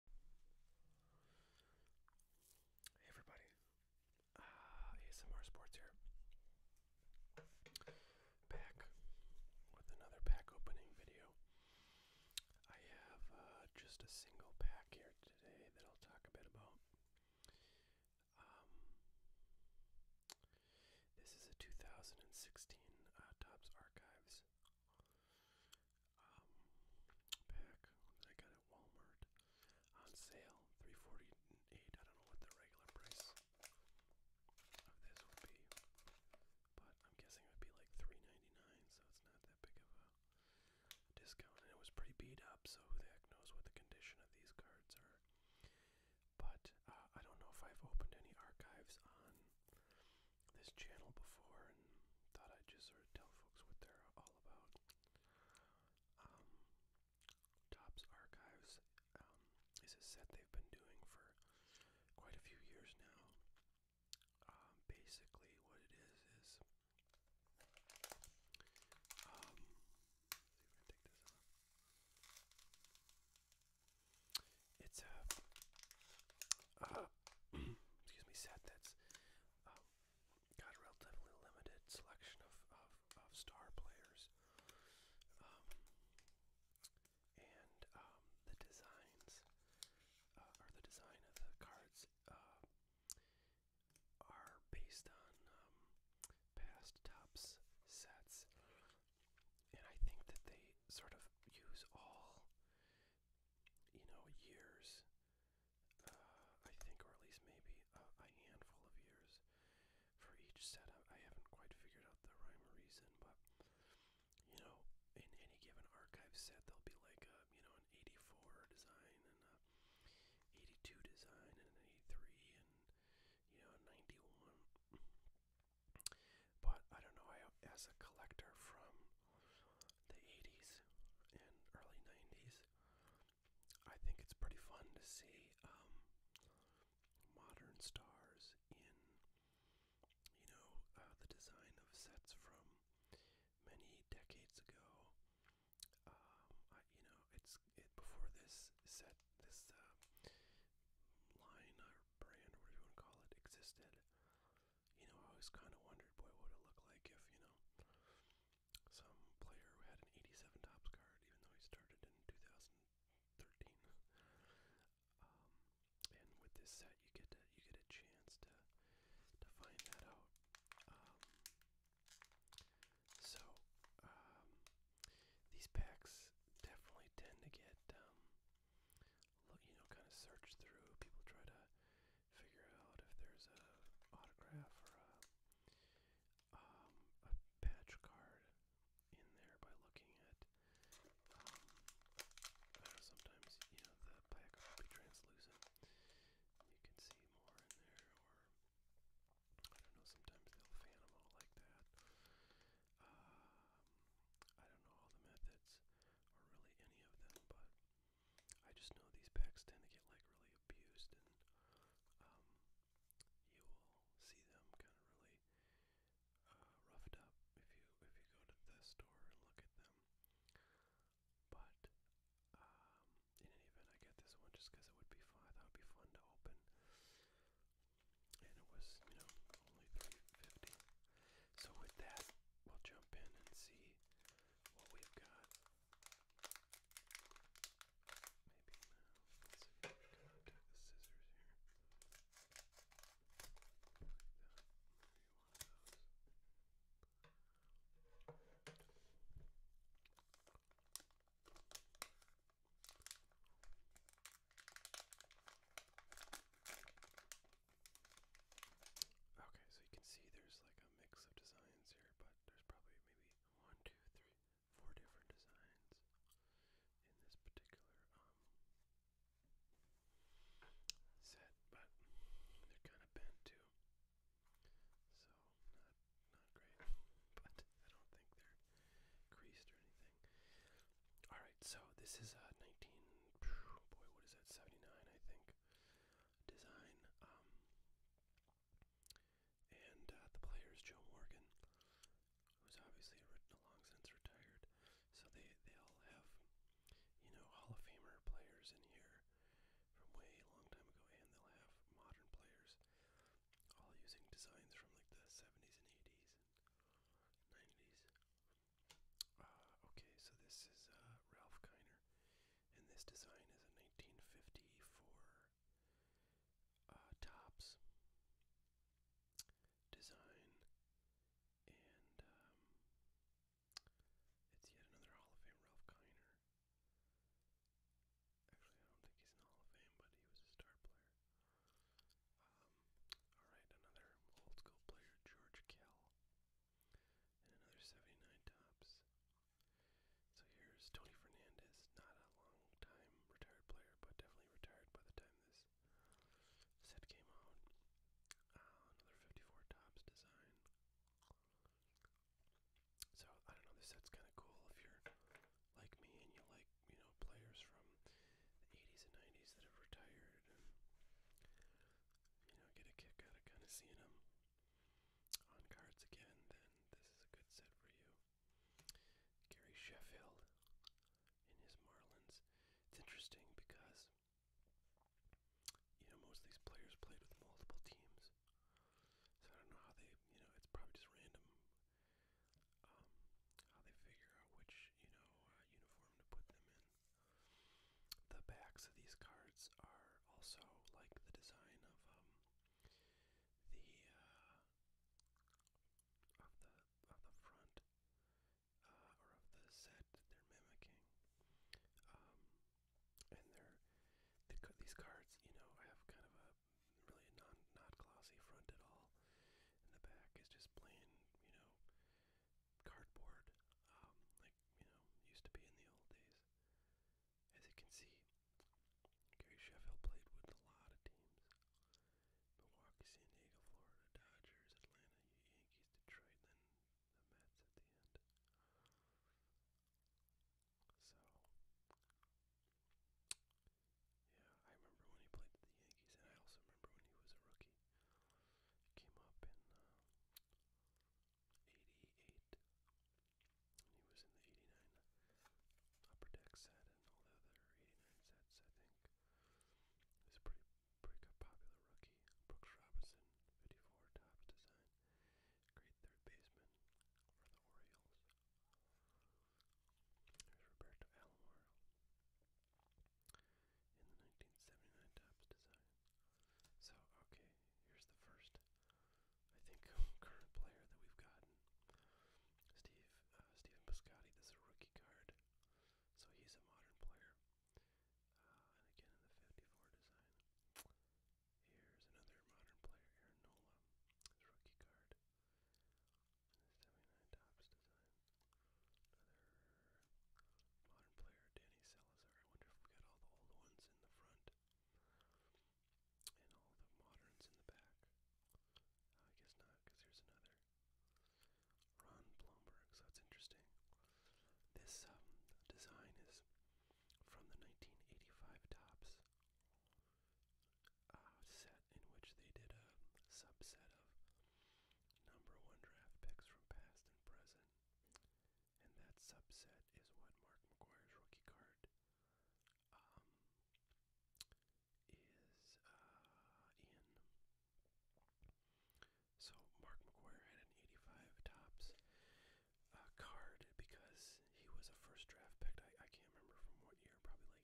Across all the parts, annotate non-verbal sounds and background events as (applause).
Hey everybody, uh, ASMR Sports here. Back with another pack opening video. I have uh, just a single pack here today that I'll talk a bit about. Um, this is a 2016 uh, Topps Archives um, pack that I got at Walmart on sale. Three forty eight. I don't know what the regular price of this would be, but I'm guessing it would be like three ninety nine. So it's not that big of a discount, and it was pretty beat up. So who the heck knows what the condition of these cards are? But uh, I don't know if I've opened any archives on this channel before and thought I'd just sort of tell folks what they're all about. Um, Tops Archives um, is a set they've been doing for quite a few years now. Um, basically, what it is is. Um, let's see if I can take this off. It's a, a uh, excuse me, set that's um, got a relatively limited selection of, star players. Um, and um, the designs, uh, the design of the cards, uh, are based on um, past tops sets. And I think that they sort of use all you know, years, uh, I think, or at least maybe a, a handful of years for each setup. I haven't quite figured out the rhyme or reason, but you know, in any given archive set, there'll be like a you know an '84 design and a '82 design and an '83 and you know a '91. But I don't know. I as a collector from the 80s and early 90s. I think it's pretty fun to see um, modern stars in, you know, uh, the design of sets from many decades ago. Um, I, you know, it's it before this set, this uh, line or brand, or whatever you want to call it, existed you know, I always kind of wondered, boy, what would it look like if, you know, some player who had an 87 tops card, even though he started in 2013. um, and with this set, you get to, you get a chance to to find that out. Um, so um, these packs definitely tend to get, um, you know, kind of searched through. People try to figure out if there's a autograph or a um, a patch card in there by looking at. Um, I sometimes you know the pack will be translucent. You can see more in there, or I don't know. Sometimes they'll fan them out like that. Um, I don't know all the methods, or really any of them, but I just know these packs tend to get like really abused, and um, you will see them kind of really uh, roughed up if you if you go to the store and look at them. But um, in any event, I get this one just because it would be fun. I thought it'd be fun to open, and it was you know only three fifty. So with that, we'll jump in and see what we've got. Maybe now. Uh, let's see. Come on, take the scissors here. Like that. Maybe one of those. Okay, so you can see there's like a mix of designs here, but there's probably maybe one, two, three, four different designs in this particular um, set, but they're kind of bent too, so not not great. (laughs) But I don't think they're creased or anything. All right, so this is a uh, 19. Boy, what is that? 79, I think design. Um, and uh, the player is Joe Morgan, who's obviously written long since retired. So they they all have, you know, Hall of Famer players in here from way a long time ago, and they'll have modern players, all using designs from like the 70s and 80s and 90s. Uh, okay, so this is uh, Ralph Kiner, and this design is a 1954 uh, tops design, and um, it's yet another Hall of Fame Ralph Kiner. Actually, I don't think he's in Hall of Fame, but he was a star player. Um, all right, another old school player, George Kell another 79 tops. So here's Tony Fernandez, not a long time retired player, but definitely retired by the time this set came out. Uh, another 54 tops design. So I don't know, this set's kind of cool if you're like me and you like, you know, players from the 80s and 90s that have retired you know, get a kick out of kind of seeing them on cards again, then this is a good set for you. Gary Sheffield in his Marlins. It's interesting because, you know, most of these players played with multiple teams. So I don't know how they, you know, it's probably just random um, how they figure out which, you know, uh, uniform to put them in. The backs of these cards are also like the design of um, the uh, of the of the front uh, or of the set that they're mimicking. Um, and they're the, these cards, you know, I have kind of a really non not glossy front at all, and the back is just plain, you know, cardboard. Um, I like, you know, used to be in the old days. As you can see, Gary Sheffield played with a lot of teams. Milwaukee, San Diego, Florida, Dodgers, Atlanta, Yankees, Detroit, then the Mets at the end. So, yeah, I remember when he played with the Yankees, and I also remember when he was a rookie. He came up and uh, 88. He was in the 89 upper deck set and all the other 89 sets, I think. He's a pretty, pretty popular rookie. Brooks Robinson, 54 tops design. Great third baseman for the Orioles. There's Roberto Alomar in the 1979 Topps design. So, okay, here's the first, I think, (laughs) current player that we've gotten. Steve, uh, Steven this is a rookie card, so he's a modern player. Uh, and again, in the 54 design. Here's another modern player, Aaron Nola, rookie card. In Topps design. Modern player Danny Salazar. I wonder if we got all the old ones in the front and all the moderns in the back. Uh, I guess not, because here's another. Ron Blomberg. So that's interesting. This um, design is from the 1985 Tops uh, set, in which they did a subset of number one draft picks from past and present and that subset is what Mark McGuire's rookie card um, is uh, in. So Mark McGuire had an 85 tops uh, card because he was a first draft pick. I can't remember from what year,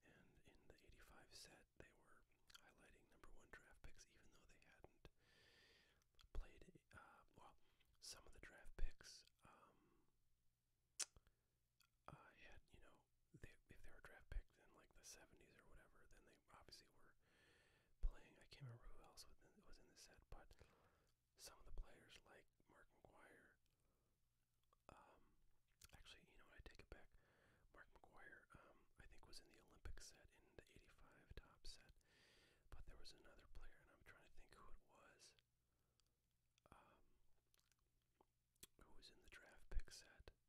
probably like 83 or something. And in the 85 set, that they were highlighting number one draft picks, even though they hadn't played. Uh, well, some of the draft picks um, uh, had, you know, they, if they were draft picked in like the 70s or whatever, then they obviously were playing. I can't remember who else was in the set, but some of the players like Mark McGuire. Um, actually, you know what? I take it back. Mark McGuire, um, I think, was in the Olympic set in the 85 top set. But there was another player, and I'm trying to think who it was, um, who was in the draft pick set from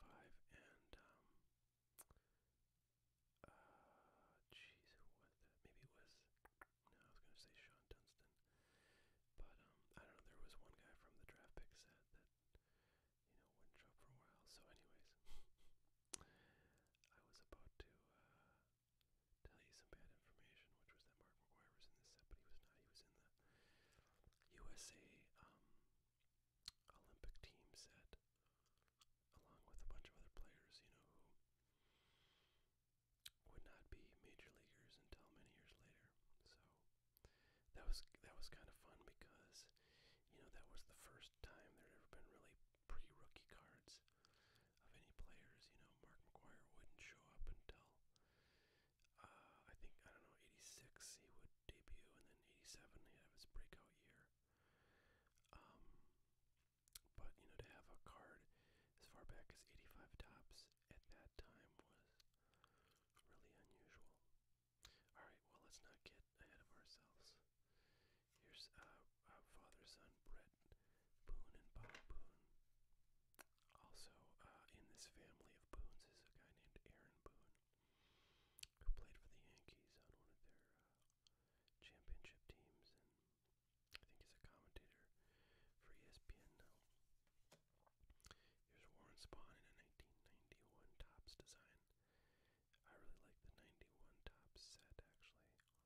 85. And, um, uh, jeez, who was that? Maybe it was, no, I was going to say Sean Dunston. But, um, I don't know, there was one guy from the draft pick set that you know, one job for a while. So, anyways, I was about to uh, tell you some bad information, which was that Mark McGuire was in this set, but he was not. He was in the USA um, Olympic team set, along with a bunch of other players, you know, who would not be major leaguers until many years later. So that was that was kind of fun because you know that was the first time there'd ever been really pre-rookie cards of any players. You know, Mark McGuire wouldn't show up until uh, I think I don't know '86 he would debut, and then '87 he'd have his breakout year. Um, but you know, to have a card as far back as '85 tops at that time was really unusual. Alright, well, let's not get ahead of ourselves. Here's uh, uh, father, son, Brett Boone and Bob Boone. Also, uh, in this family of Boones is a guy named Aaron Boone, who played for the Yankees on one of their uh, championship teams, and I think he's a commentator for ESPN now. Here's Warren Spawn in a 1991 Topps design. I really like the 91 top set actually. It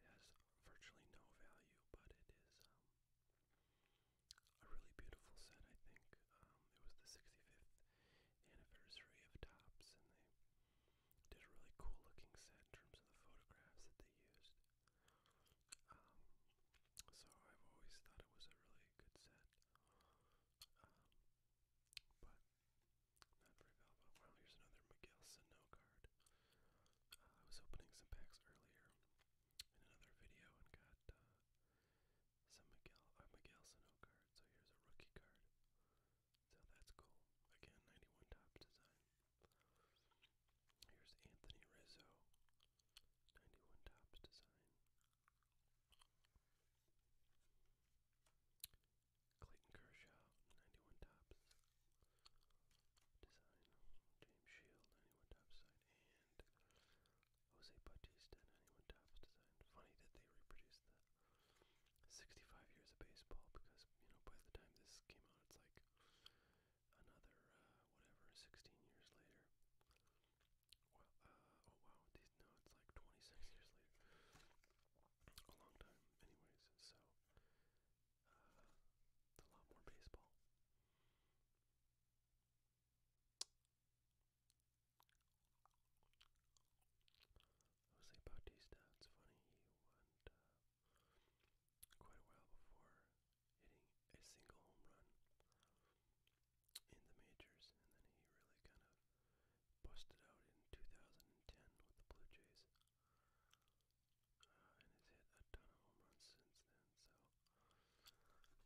has virtually no value, but it is um, a really beautiful set, I think. Um, it was the 65th anniversary of Tops, and they did a really cool looking set in terms of the photographs that they used. Um, so I've always thought it was a really good set but not very valuable. Wow, here's another Miguel Sano card. Uh, I was opening some packs earlier in another video and got uh, some Miguel uh, Sano card. So here's a rookie card. So that's cool. Again, 91 top design. Here's Anthony Rizzo, 91 tops design. Clayton Kershaw, 91 tops. Design, James Shield, 91 tops design, and Jose Bautista, 91 tops design. Funny that they reproduced that 65 years of baseball because, you know, by the time this came out, it's like another, uh, whatever, 16 years later. Well, uh, oh wow, no, it's like 26 years later. A long time, anyways, so, it's uh, a lot more baseball. Jose Bautista, it's funny, he went uh, quite a while before hitting a single home run in the majors, and then he really kind of busted out in 2010 with the Blue Jays, uh, and has hit a ton of home runs since then. So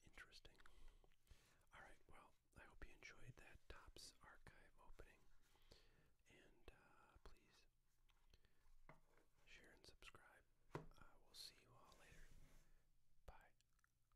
interesting. All right, well, I hope you enjoyed that Topps Archive opening, and uh, please share and subscribe. Uh, we'll see you all later. Bye.